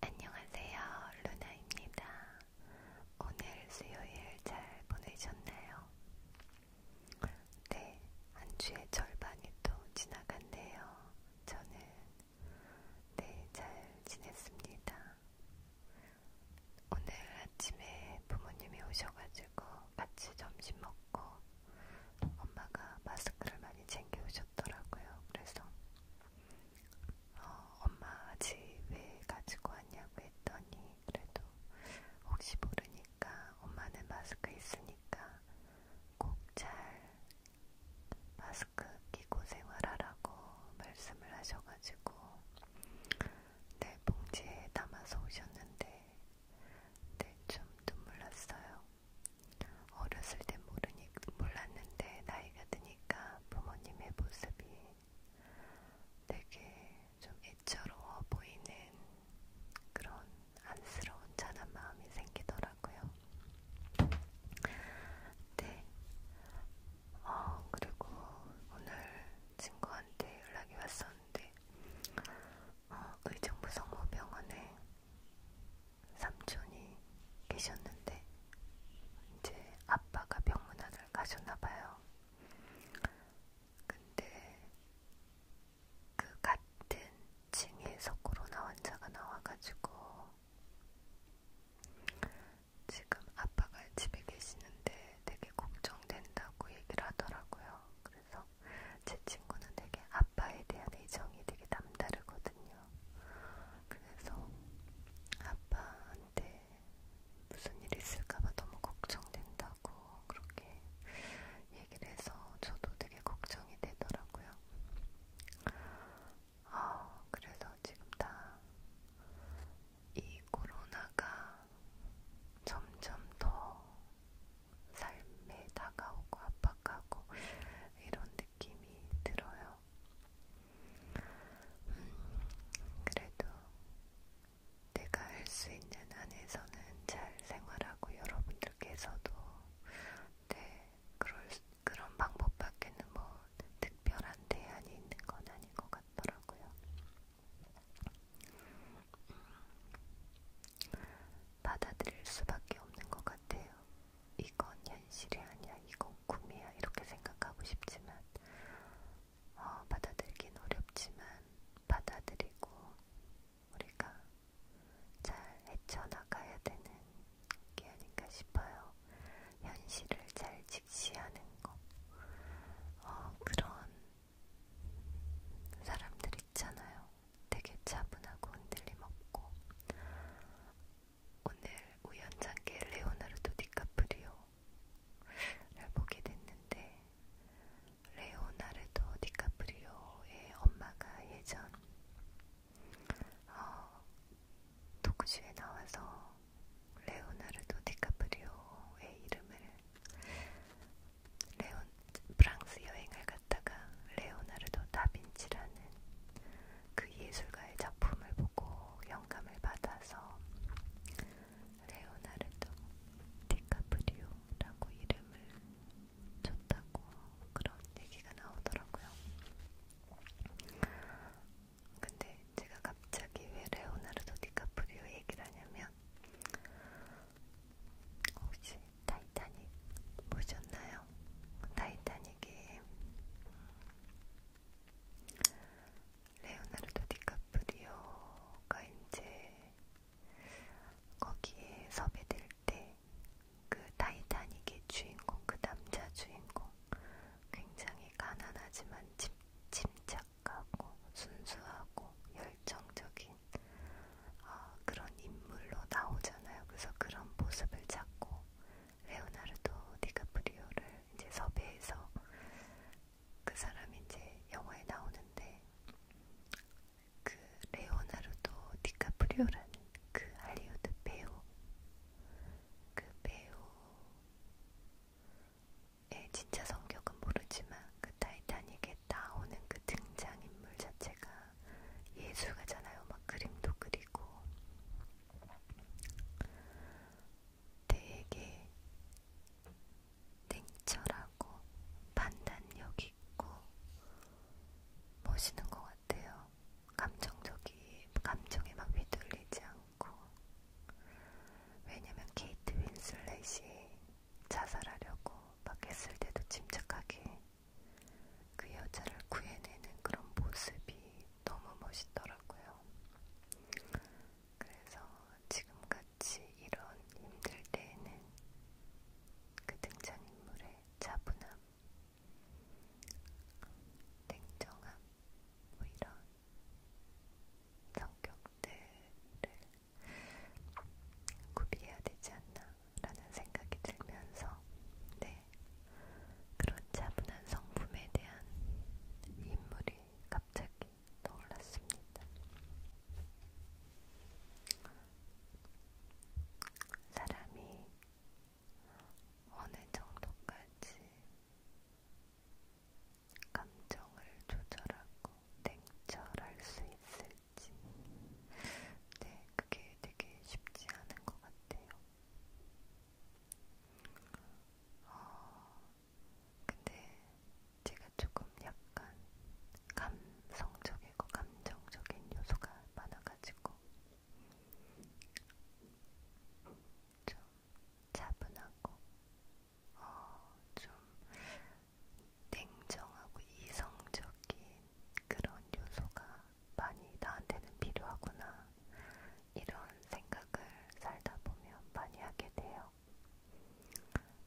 안녕하세요, 루나입니다. 오늘 수요일 잘 보내셨나요? 네, 한 주의 절반이 또 지나갔네요. 저는 네, 잘 지냈습니다. 오늘 아침에 부모님이 오셔가지고 같이 점심 먹고 엄마가 마스크를 많이 챙겨 오셨더라고요. 그래서 어, 엄마 아직 왜 가지고 왔냐고 했더니 그래도 혹시 모르니까 엄마는 마스크 있으니까 꼭 잘 마스크 끼고 생활하라고 말씀을 하셔가지고 네 봉지에 담아서 오셨는데 네, 좀눈 물났어요. 어렸을 땐 모르니, 몰랐는데 나이가 드니까 부모님의 모습이 되게 좀 애처로워 보이는 그런 안쓰러운 잔한 마음이 생기더라고요. 네. 어, 그리고 오늘 친구한테 연락이 왔었는데 어, 의정부 성모병원에 삼촌이 계셨는데 이제 아빠가 병문안을 가셨나봐요. 근데 그 같은 층에서 코로나 환자가 나와가지고 지금 아빠가 집에 계시는데 되게 걱정된다고 얘기를 하더라고요. 그래서 제 친구는 되게 아빠에 대한 애정이 되게 남다르거든요. 그래서 아빠한테 무슨 일이 있을까봐 너무 걱정된다고 그렇게 얘기를 해서 저도 되게 걱정이 되더라고요. 아, 그래서 지금 다이 코로나가 점점 더 삶에 다가오고 압박하고 이런 느낌이 들어요. 음, 그래도 내가 할 수 있는 한에서는 잘 생활하고 여러분들께서도 네, 그럴, 그런 방법밖에는 뭐 특별한 대안이 있는 건 아닌 것 같더라고요. 받아들일 수밖에 없는 것 같아요. 이건 현실이 아니야, 이건 꿈이야 이렇게 생각하고 싶지만 어, 받아들긴 어렵지만 받아들이고 우리가 잘 헤쳐나가야 되는 게 아닌가 싶어요. 현실을 잘 직시하는 거. 어, 그런 사람들 있잖아요. 되게 차분하고 흔들림 없고. 오늘 우연찮게 레오나르도 디카프리오를 보게 됐는데, 레오나르도 디카프리오의 엄마가 예전 어, 도크쇼에 나와서 레오나르도 디카프리오의 이름을 레온 프랑스 여행을 갔다가 레오나르도 다빈치라는 그 예술가의 작품을 보고 영감을 받아서 레오나르도 디카프리오라고 이름을 줬다고 그런 얘기가 나오더라고요. 근데 제가 갑자기 왜 레오나르도 디카프리오 얘기를 하냐면 혹시 타이타닉 보셨나요? 타이타닉이 레오나르도 디카프리오가 이제 거기에 섭외될 때 그 타이타닉의 주인공, 그 남자 주인공 굉장히 가난하지만 집, 침착 착하고 순수하고 열정적인 어, 그런 인물로 나오잖아요. 그래서 그런 모습을 찾고 레오나르도 디카프리오를 이제 섭외해서 그 사람이 이제 영화에 나오는데 그 레오나르도 디카프리오라는 그 할리우드 배우 그 배우 예, 진짜 성격은 모르지만 그 타이타닉에 나오는 그 등장인물 자체가 예술가잖아요. 막 그림도 그리고 되게 냉철하고 판단력 있고 멋있는 것 같아요. 감정적이 감정에 막 휘둘리지 않고. 않고 왜냐면 케이트 윈슬렛이 자살하려고 막 했을 때도 침착하게 그 여자를 구해내는 그런 모습이 너무 멋있더라고요. 그래서 지금같이 이런 힘들 때에는 그 등장인물의 차분함, 냉정함, 뭐 이런 성격들을 구비해야 되지 않나라는 생각이 들면서 네, 그런 차분한 성품에 대한 인물이 갑자기 떠올랐습니다. 사람이 어느 정도까지 감정을 조절하고 냉철할 수 있을지 네, 그게 되게 쉽지 않은 것 같아요. 어, 근데 제가 조금 약간 감성적이고 감정적인 요소가 많아가지고 좀 차분하고 어좀 냉정하고 이성적인 그런 요소가 많이 나한테는 필요하구나 이런 생각을 살다 보면 많이 하게 돼요.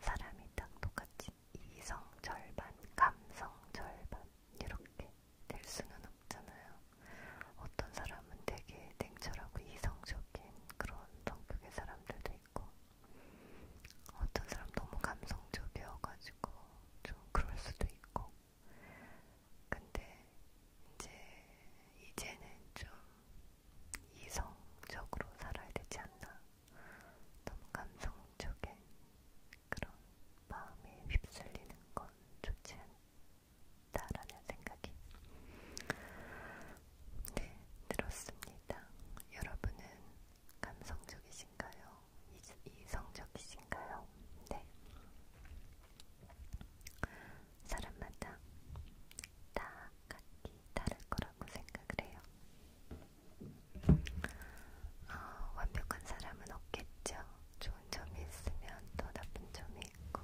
사람이 딱 똑같이 이성 절반, 감성 절반 이렇게 될 수는 없잖아요. 어떤 사람은 되게 냉철하고 이성적인 그런 성격의 사람들도 있고 어떤 사람 너무 감성적이어가지고 좀 그럴 수도 있고 근데 이제 이제는 좀 이성적으로 살아야 되지 않나 너무 감성적인 그런 마음에 휩쓸리는 건 좋지 않. 싶다라는 생각이 네, 들었습니다. 여러분은 감성적이신가요? 이성적이신가요? 네. 사람마다 다 각기 다를 거라고 생각을 해요. 어, 완벽한 사람은 없겠죠. 좋은 점이 있으면 또 나쁜 점이 있고,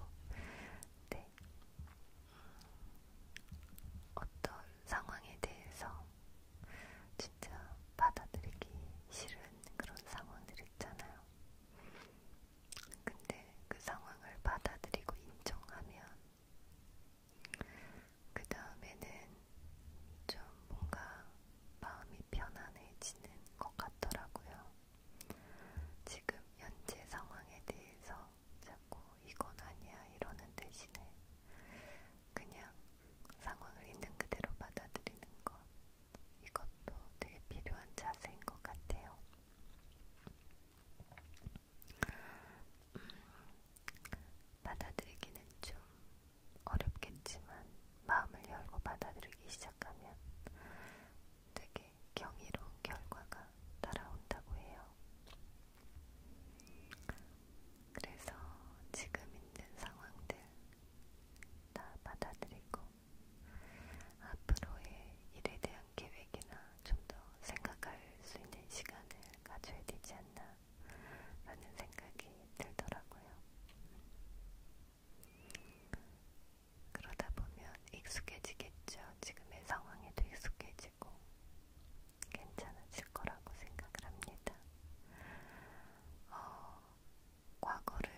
네, 어떤 상황에 대해서 진짜 받아들이기 싫은 그런 상황들 있잖아요. 근데 그 상황을 받아들이고 인정하면 그 다음에는 좀 뭔가 마음이 편안해지는 것 같더라고요. 지금 현재 상황에 대해서 자꾸 이건 아니야 이러는 대신에 그냥 상황을 있는 그대로 받아들이는 것 이것도 되게 필요한 자세인 것 같아요. 음, 받아들이기는 좀 어렵겠지만 마음을 열고 받아들이기 시작하면 되게 이렇게 경이로운 결과가 따라온다고 해요. 그래서 지금 있는 상황들 다 받아들이고 앞으로의 일에 대한 계획이나 좀 더 생각할 수 있는 시간을 가져야 되지 않나 라는 생각이 들더라고요. 그러다 보면 익숙해지겠죠. 지금의 상황에도 익숙해지고 괜찮아질 거라고 생각을 합니다. 어, 과거를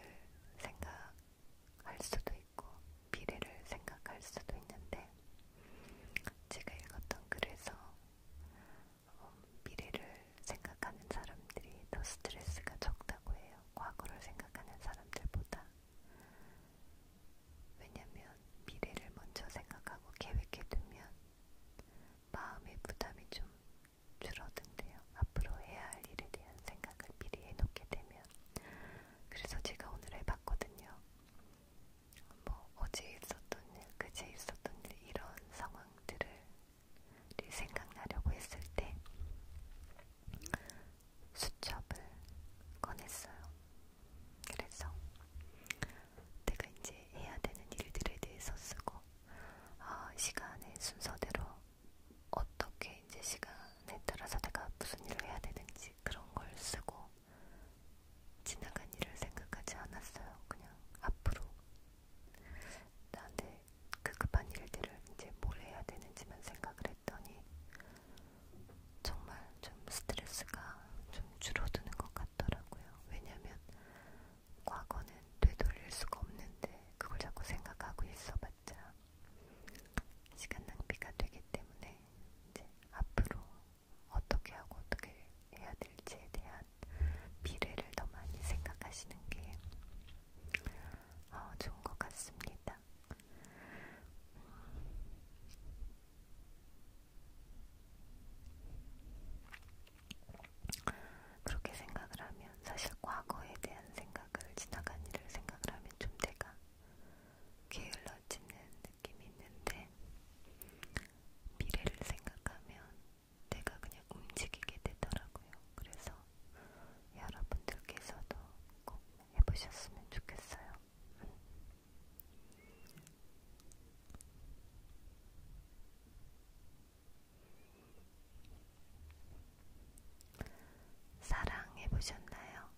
생각할 수도 있고 미래를 생각할 수도 있는데 제가 읽었던 글에서 어, 미래를 생각하는 사람들이 더 스트레스가 적다고 해요. 과거를 생각하는 사람들보다 왜냐면 미래를 먼저 생각하고 계획해두면 마음의 부담이 좀 줄어든대요. 앞으로 해야 할 일에 대한 생각을 미리 해놓게 되면 그래서 제가 오늘 해봤거든요. 뭐 어제 있었던 일, 그제 있었던 일 이런 상황들을 생각나려고 했을 때 수첩을 꺼냈어요. 그래서 내가 이제 해야 되는 일들에 대해서 쓰고 아, 시간의 순서대로 어떻게 이제 시간에 따라서 내가 무슨 일을 해야 되는지 그런 걸 쓰고 지나간 일을 생각하지 않았어요. 그냥 앞으로 나한테 급급한 그 일들을 이제 뭘 해야 되는지만 생각을 했더니 정말 좀 스트레스가 좀 줄어드는 것 같더라고요. 왜냐면 과거는 되돌릴 수가 없는데 그걸 자꾸 생각하고 있어봤자 시간 낭비가 되기 때문에 이제 앞으로 어떻게 하고 어떻게 해야 될지에 대한 미래를 더 많이 생각하시는 게 어, 좋은 것 같습니다. 그렇게 생각을 하면 사실 과거에 대한 생각을 지나간 일을 생각을 하면 좀 내가 게을러지는 느낌이 있는데 미래를 생각하면 내가 그냥 움직이게 되더라고요. 그래서 여러분들께서도 꼭 해보셨으면 좋겠어요. 사랑해보셨나요?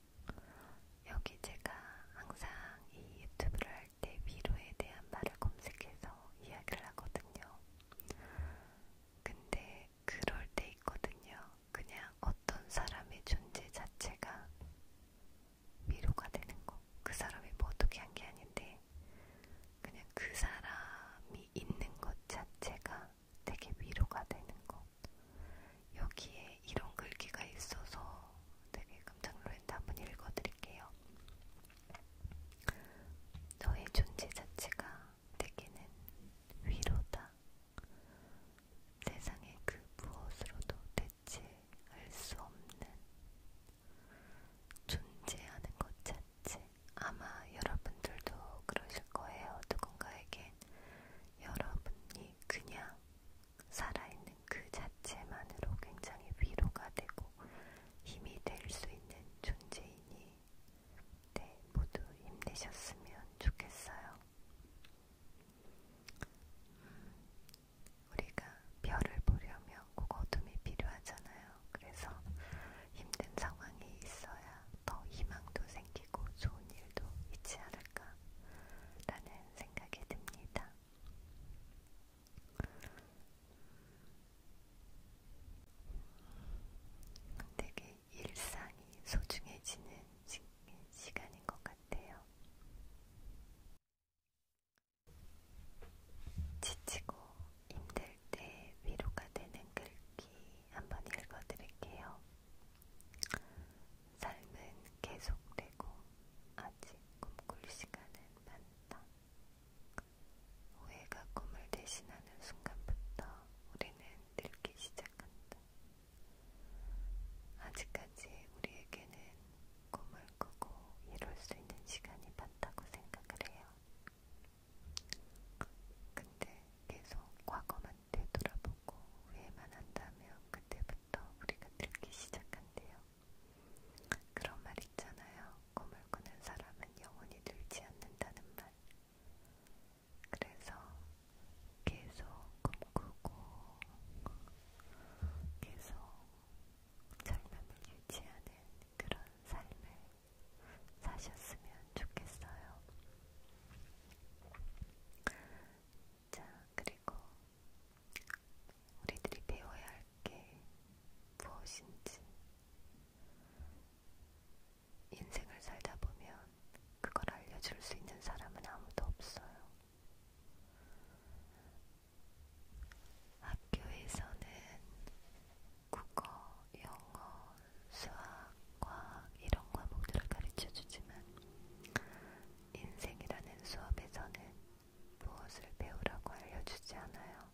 여기 제가 항상 이 유튜브를 할 때 위로에 대한 말을 검색해서 이야기를 하거든요. 근데 근데 그럴 때 있거든요. 그냥 어떤 사람의 존재 자체가 위로가 되는 거. 그 사람이 뭐 어떻게 한 게 아닌데 그냥 그 사람이 있는 것 자체가 되게 위로가 되는 거. 여기에 이런 글귀가 있어서 되게 깜짝 놀랐는데 한번 읽어드릴게요. 너의 존재 자체가 내게는 위로다. 세상의 그 무엇으로도 대체할 수 없는 존재하는 것 자체. 아마 여러분들도 그러실 거예요. 누군가에겐 여러분이 그냥 살아있는 그 자체만으로 굉장히 위로가 되고 힘이 될 수 있는 존재이니 네, 모두 힘내셨으면 좋겠어요. 음, 우리가 별을 보려면 꼭 어둠이 필요하잖아요. 그래서 힘든 상황이 있어야 더 희망도 생기고 좋은 일도 있지 않을까라는 생각이 듭니다. 되게 일상이 소중해지는 시, 시간인 것 같아요. 지치고 힘들 때 위로가 되는 글귀 한번 읽어드릴게요. 삶은 계속되고 아직 꿈꿀 시간은 많다. 오해가 꿈을 대신하는 순간부터 우리는 늙기 시작한다. 아직까지 우리에게는 꿈을 꾸고 이룰 수 있는 시간이 많다고 생각을 해요. 근데 계속 과거만 되돌아보고 후회만 한다면 그때부터 우리가 늙기 시작한대요. 그런 말 있잖아요. 꿈을 꾸는 사람은 영원히 늙지 않는다는 말. 그래서 계속 꿈꾸고 계속 젊음을 유지하는 그런 삶을 사셨으면 좋겠어요. 자, 그리고 우리들이 배워야 할 게 무엇인지 인생을 살다 보면 그걸 알려줄 수 있는 사람은 아무도 없어요. 학교에서는 국어, 영어, 수학, 과학 이런 과목들을 가르쳐 주지만 인생이라는 수업에서는 무엇을 배우라고 알려주지 않아요.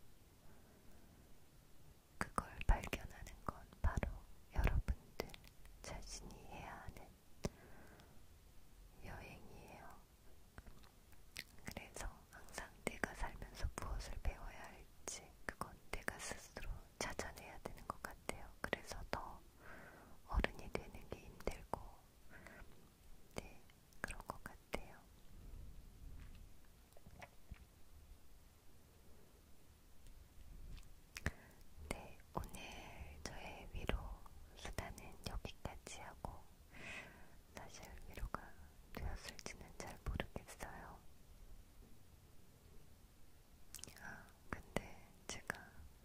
그걸 발견하는 건 바로 여러분들 자신이 해야 하는 여행이에요. 그래서 항상 내가 살면서 무엇을 배워야 할지 그건 내가 스스로 찾아내야 되는 것 같아요. 그래서 더 어른이 되는 게 힘들고 네 그런 것 같아요. 같아요. 네, 오늘 저의 위로 수다는 여기까지 하고, 사실 위로가 되었을지는 잘 모르겠어요. 아, 근데 제가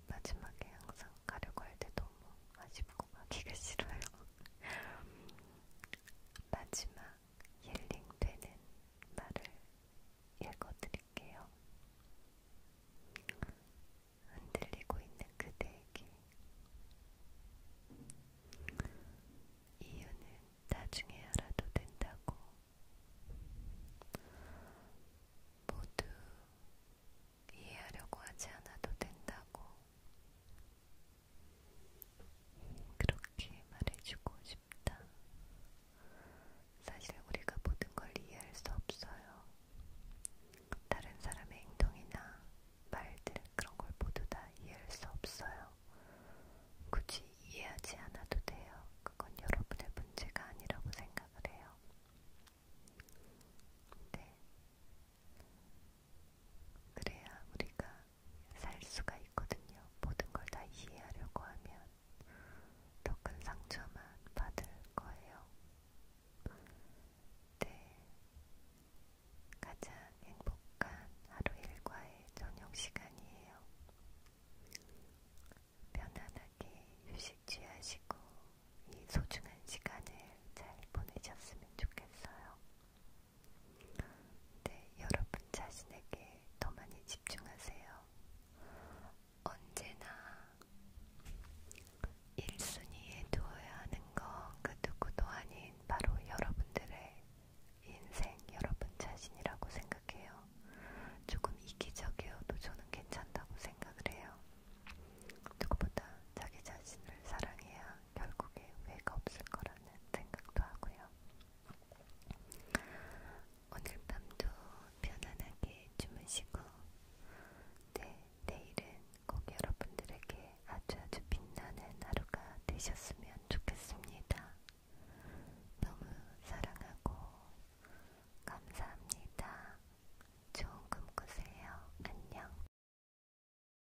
마지막에 항상 가려고 할 때 너무 아쉽고 가기가 싫어요. 마지막 힐링되는 말을 읽어드릴게요. 흔들리고 있는 그대에게 이유는 나중에 알아도 된다고 모두 이해하려고 하지 않아도 된다고 그렇게 말해주고 싶다. 사실 우리가 모든 걸 이해할 수 없어요. 다른 사람의 행동이나 말들 그런 걸 모두 다 이해할 수 없어요. 굳이 이해하지 않아도 돼요. 그건 여러분의 문제가 아니라고 생각을 해요. 네, 그래야 우리가 살 수가 있거든요. 모든 걸 다 이해하려고 하면 더 큰 상처만 받을 거예요. 네. 가장 행복한 하루 일과의 저녁 시간이에요. 편안하게 휴식 취하시고 이 소중한 시간을 잘 보내셨으면 좋겠어요. 네, 여러분 자신에게 더 많이 집중하세요. 언제나 1순위에 두어야 하는 건 그 누구도 아닌 바로 여러분들의 인생, 여러분 자신이라고 생각해요. 조금 이기적이어도 저는 괜찮다고 생각을 해요. 누구보다 자기 자신을 사랑해야 결국에 후회가 없을 거라는 생각도 하고요. 오늘 밤도 편안하게 주무시고, 네, 내일은 꼭 여러분들에게 아주 아주 빛나는 하루가 되셨으면 좋겠습니다. 너무 사랑하고 감사합니다. 좋은 꿈 꾸세요. 안녕.